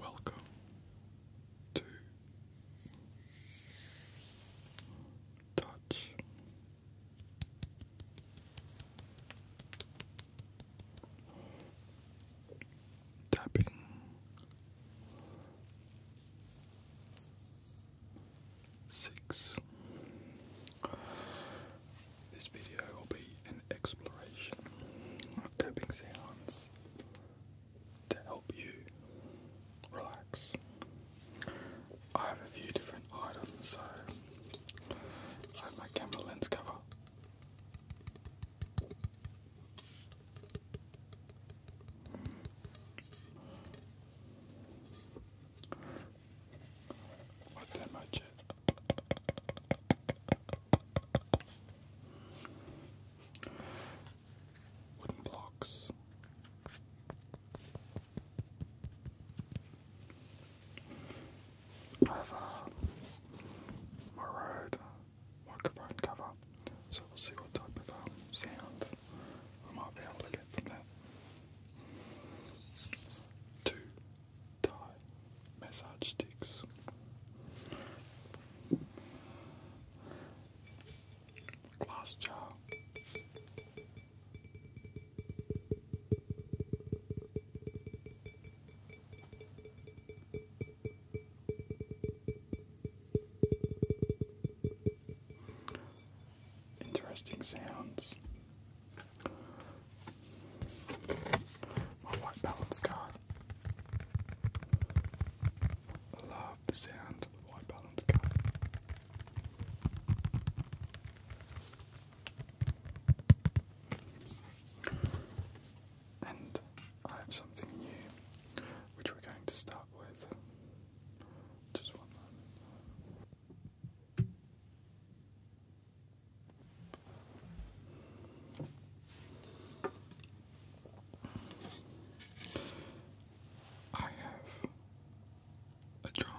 Welcome to Touch Tapping. Six this video will be an exploration of tapping sounds to help you relax. I have a few different items, so I have my camera lens cover. My thermo jet. Wooden blocks. I have a Murad microphone cover, so we'll see what type of um, sound we might be able to get from that. Two Thai massage sticks. Glass jar. Interesting sounds. My white balance card. I love the sound of the white balance card. And I have something new which we're going to start with. Just one I have a drum,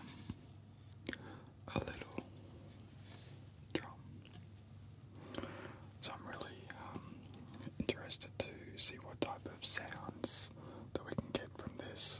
a little drum. So I'm really um, interested to see what type of sounds that we can get from this.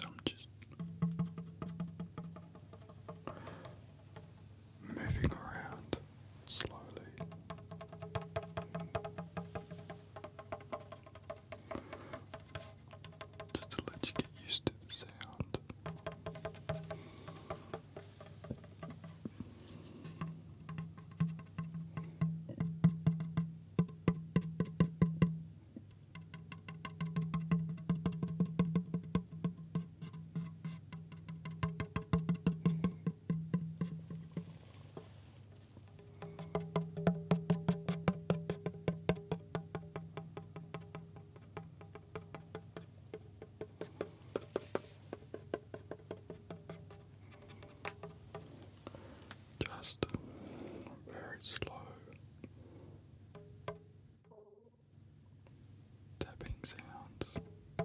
So I'm just moving around slowly. Just to let you get used to the sound. Just very slow tapping sounds. Moving.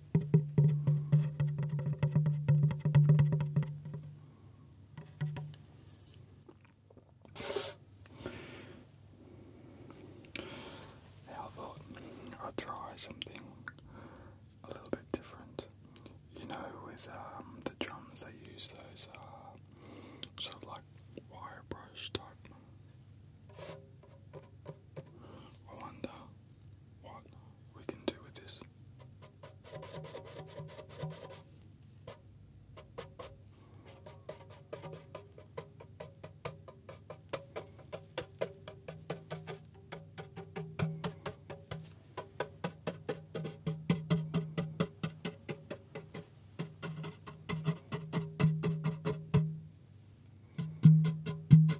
How about I try something a little bit different? You know, with um, the drums, they use those uh, sort of like wire brush type. I wonder what we can do with this.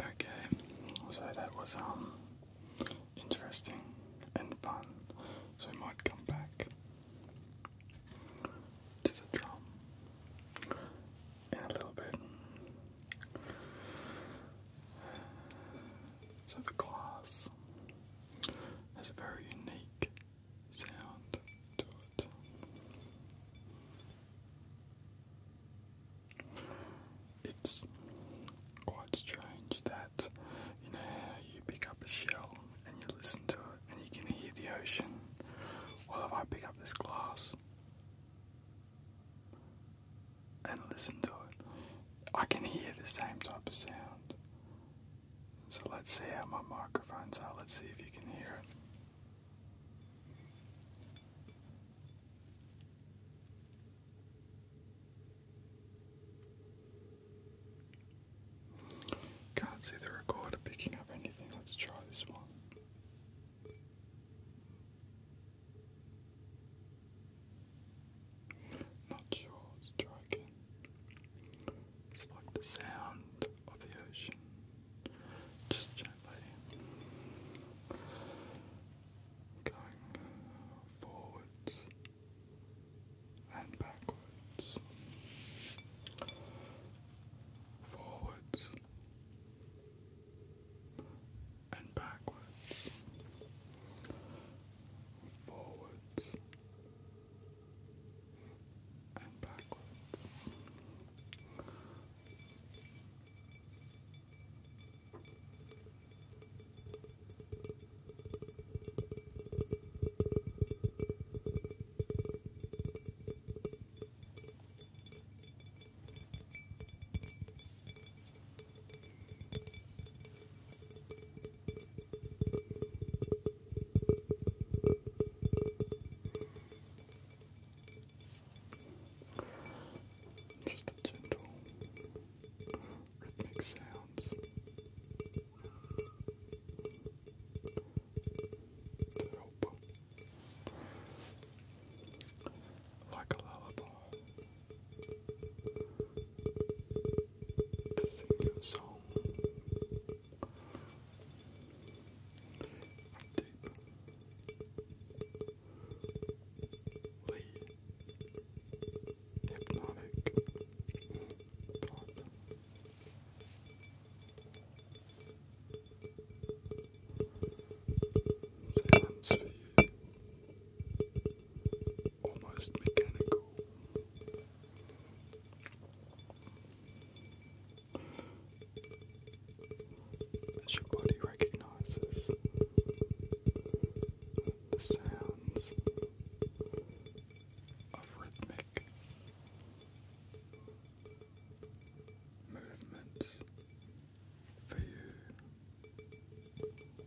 Okay, so that was um interesting and fun. So we might come back to the drum a little bit. So the glass has a very unique sound to it. It's quite strange that you know you pick up a shell and you listen to it and you can hear the ocean. Well, if I pick up this glass, and listen to it. I can hear the same type of sound. So let's see how my microphones are. Let's see if you can hear it. Can't see the recorder picking up anything. Let's try this one. Not sure, let It's like the sound of the ocean, just gently going forwards and backwards, forwards and backwards, forwards and backwards. Just a gentle rhythmic sounds to help, like a lullaby to sing you a song. A deep hypnotic thought. you almost mechanical. As your body recognizes the sounds of rhythmic movements for you. Just small movements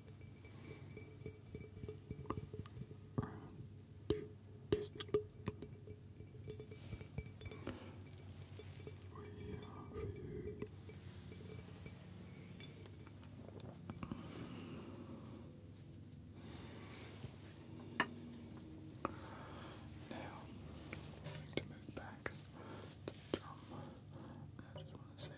Now, I'm going to move back the drum. I just want to say.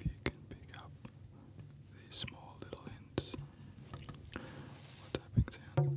If you can pick up these small little hints, what tapping sounds.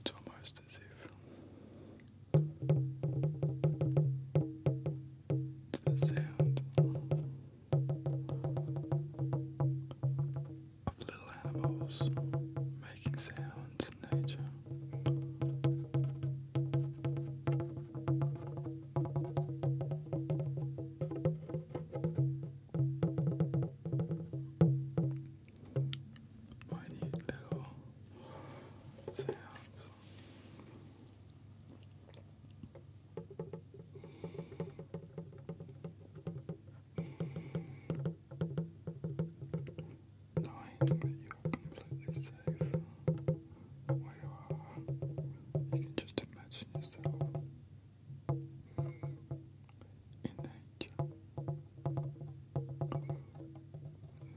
It's almost as if it's the sound of little animals making sounds in nature. Minute little sounds knowing that you're completely safe where you are. You can just imagine yourself in nature.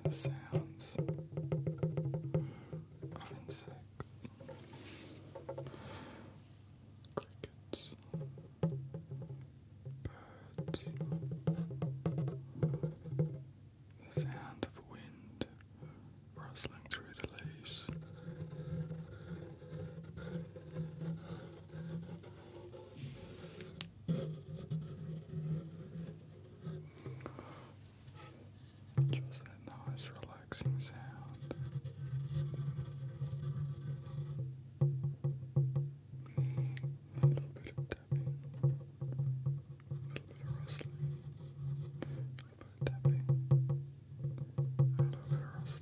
The sounds of insects, crickets, birds, the sound of wind rustling through the leaves. Just that nice, relaxing sound. A little bit of tapping, a little bit of rustling, a little bit of tapping, a little bit of rustling. Just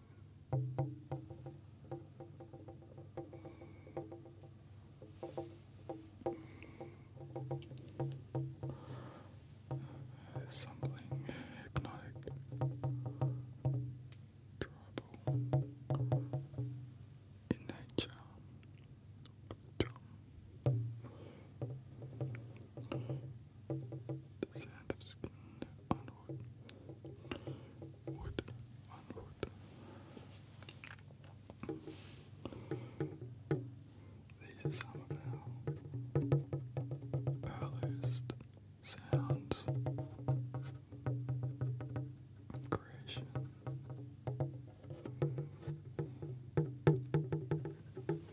There's something hypnotic, tribal in nature. The sand of skin onward, wood, These are some earliest sounds of creation.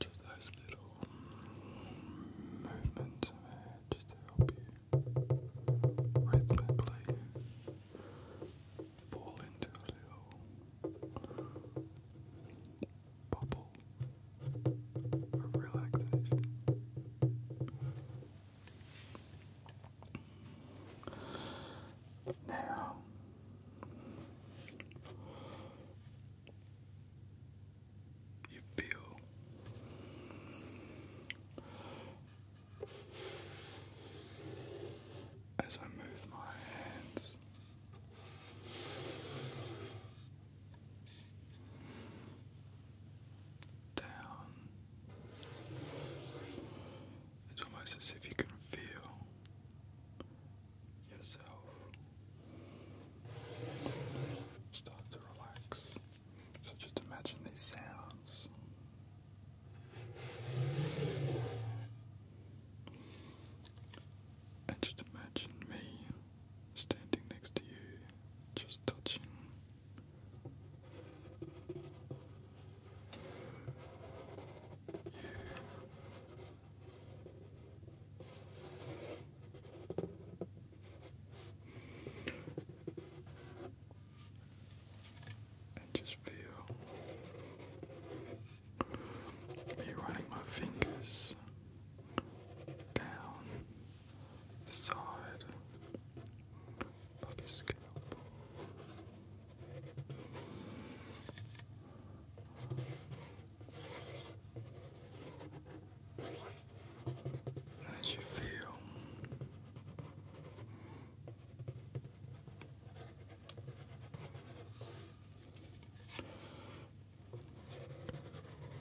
to those little movements of to help you rhythmically fall into a little bubble of relaxation. Now, you feel as I move my hands. Down. It's almost as if you can feel yourself. Start to relax. So just imagine these sounds. And just imagine me standing next to you, just touching. You and just feel me running my fingers down the side of your scalp. How does you feel?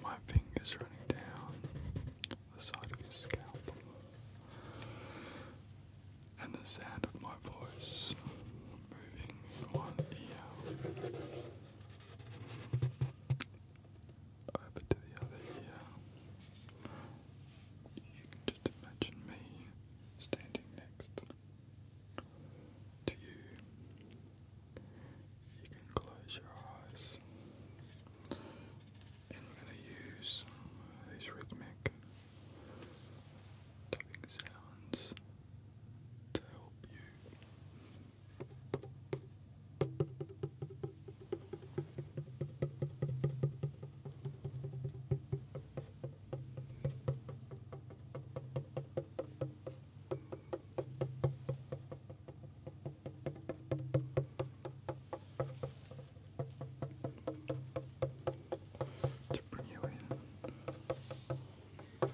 My fingers running down the side of your scalp, and the sound of my voice moving one ear over to the other ear. You can just imagine me standing next to you. You can close your eyes. And we're going to use these rhythmic tapping sounds to help you to bring you in. Slightly.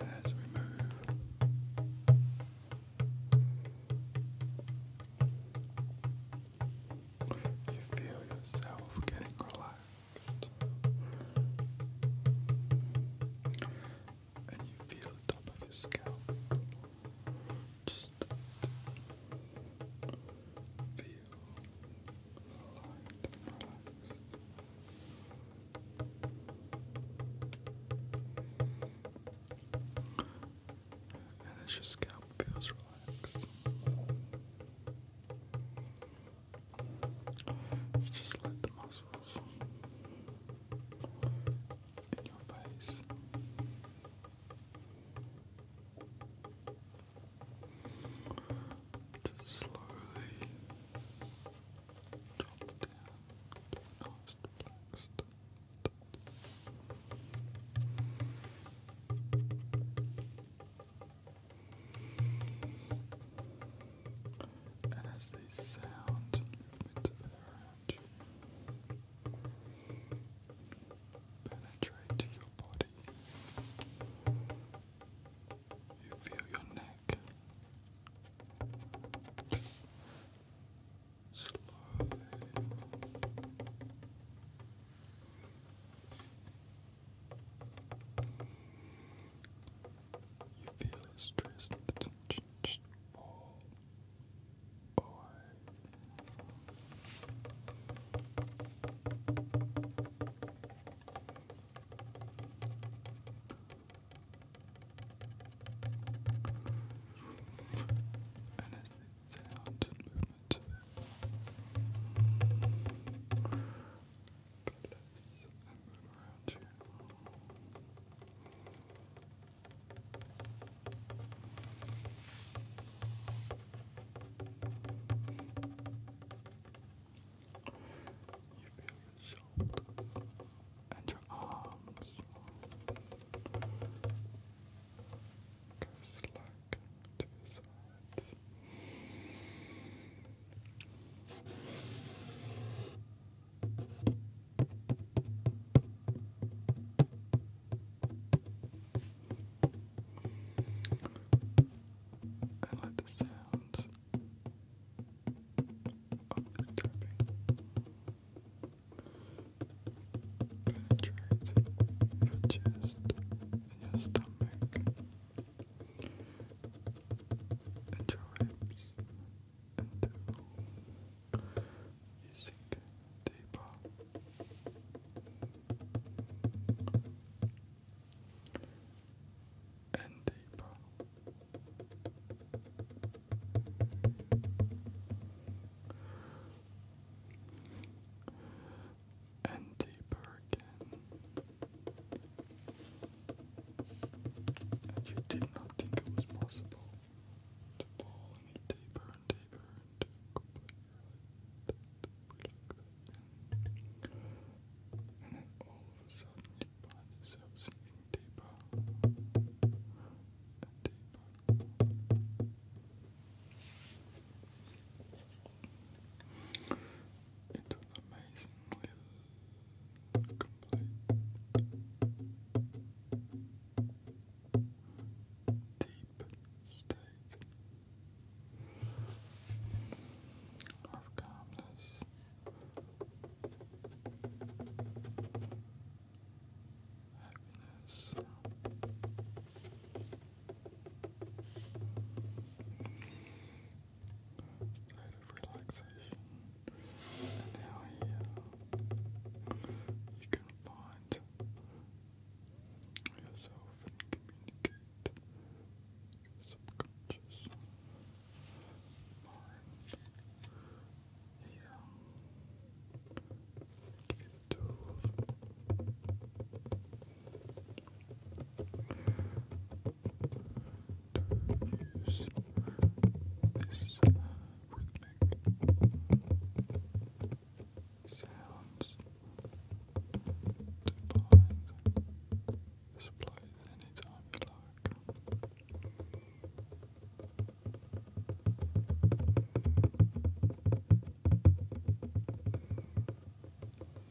As we move. You feel yourself getting relaxed and you feel the top of your scalp. Just feel relaxed. And your scalp feels relaxed. You just let the muscles in your face just slowly drop down and as they sound movement of penetrate your body, you feel your neck slowly. You feel the stress and tension fall and as the sounds and place You feel your shoulders and your arms go slack to the and let the sound of this tapping penetrate your chest and your stomach and your hips you deeper. And deeper and deeper again. And you did not think it was possible to fall any deeper and deeper into complete And then all of a sudden you find yourself sinking deeper and deeper. It was amazingly complete. Deep state of calmness state of relaxation. And now here you can find yourself and communicate subconscious mind. Here, you the tools use this sounds to find this place anytime you like.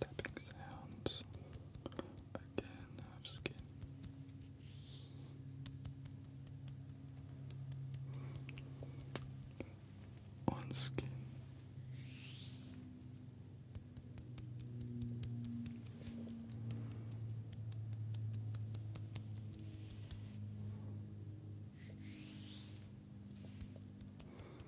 Tapping sounds again of skin. On skin.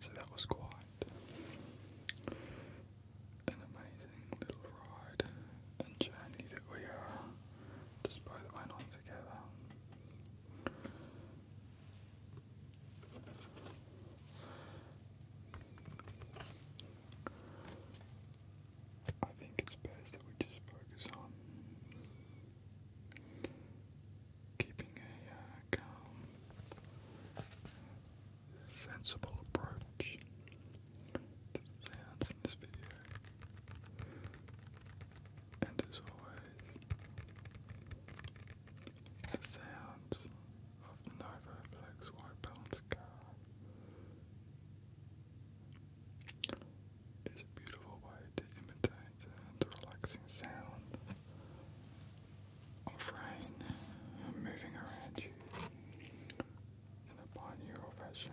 So that was quite an amazing little ride and journey that we just both went on together. I think it's best that we just focus on keeping a uh, calm, sensible approach to the sounds in this video. And as always, the sounds of the Novoplex White Balance car is a beautiful way to imitate the relaxing sound of rain moving around you in a binaural fashion.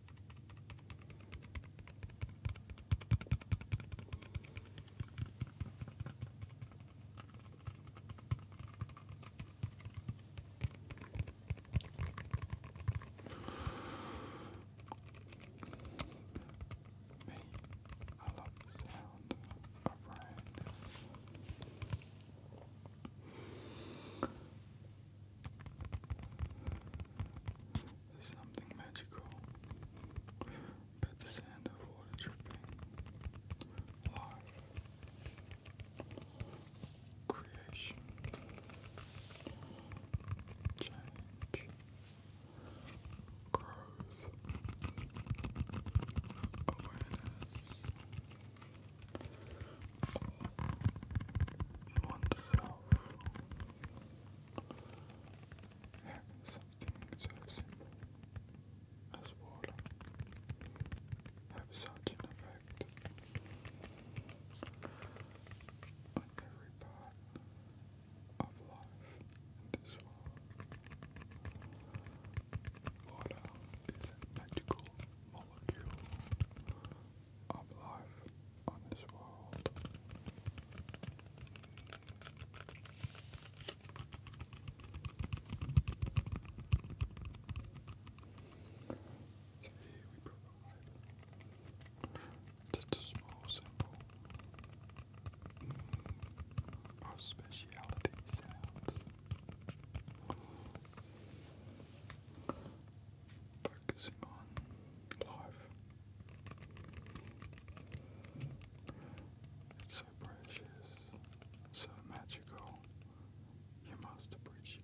Me, I love the sound of rain. There's something magical about the sound of water dripping. Life, creation, change, growth, awareness oneself. Having something so simple as water have such an effect on every part of life in this world. Water is magical molecule of life on this world. Today we provide just a small speciality sounds focusing on life. It's so precious, so magical. You must appreciate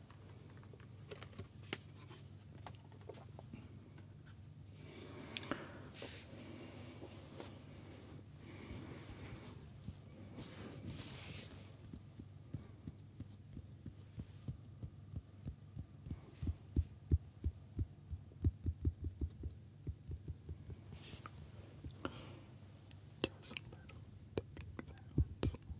Just a little tapping sounds.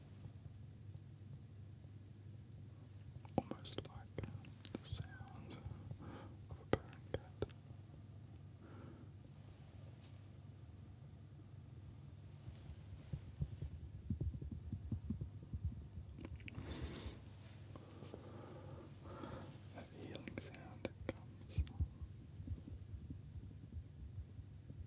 Almost like the sound of a purring cat. That healing sound that comes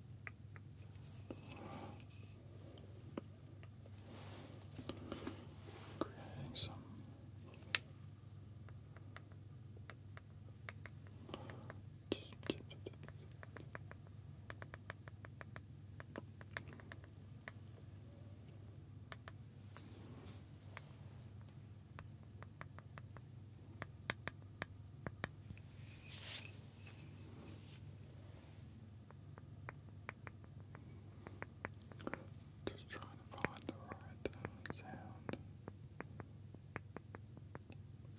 Creating some just just trying to find the right sound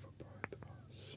for both of us.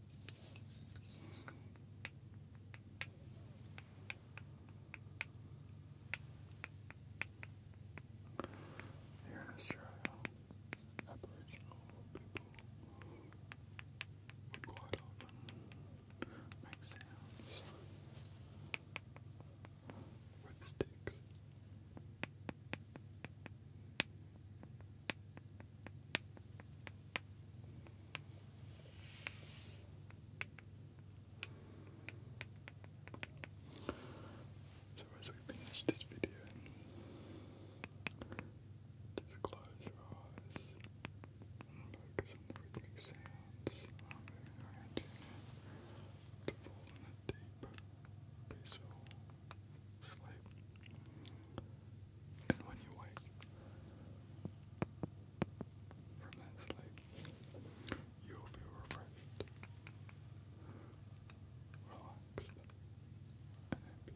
Here in Australia, Aboriginal people would quite often make sounds with sticks. So as we finish this video, just close your eyes and focus on the sounds I'm moving around you to fall in a deep, peaceful sleep. And when you wake from that sleep, you feel refreshed, relaxed, and happy.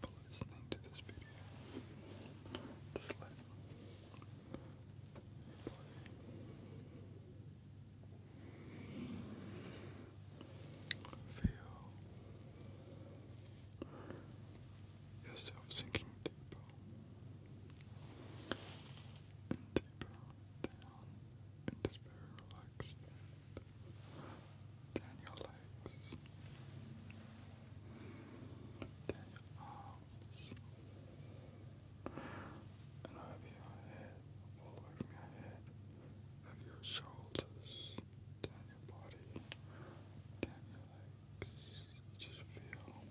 for listening Feel yourself sinking deeper and deeper down into this very relaxed, down your legs. Down your arms. And over your head. All the your head. Over your shoulders. Down your body. Down your legs. Just feel relaxed.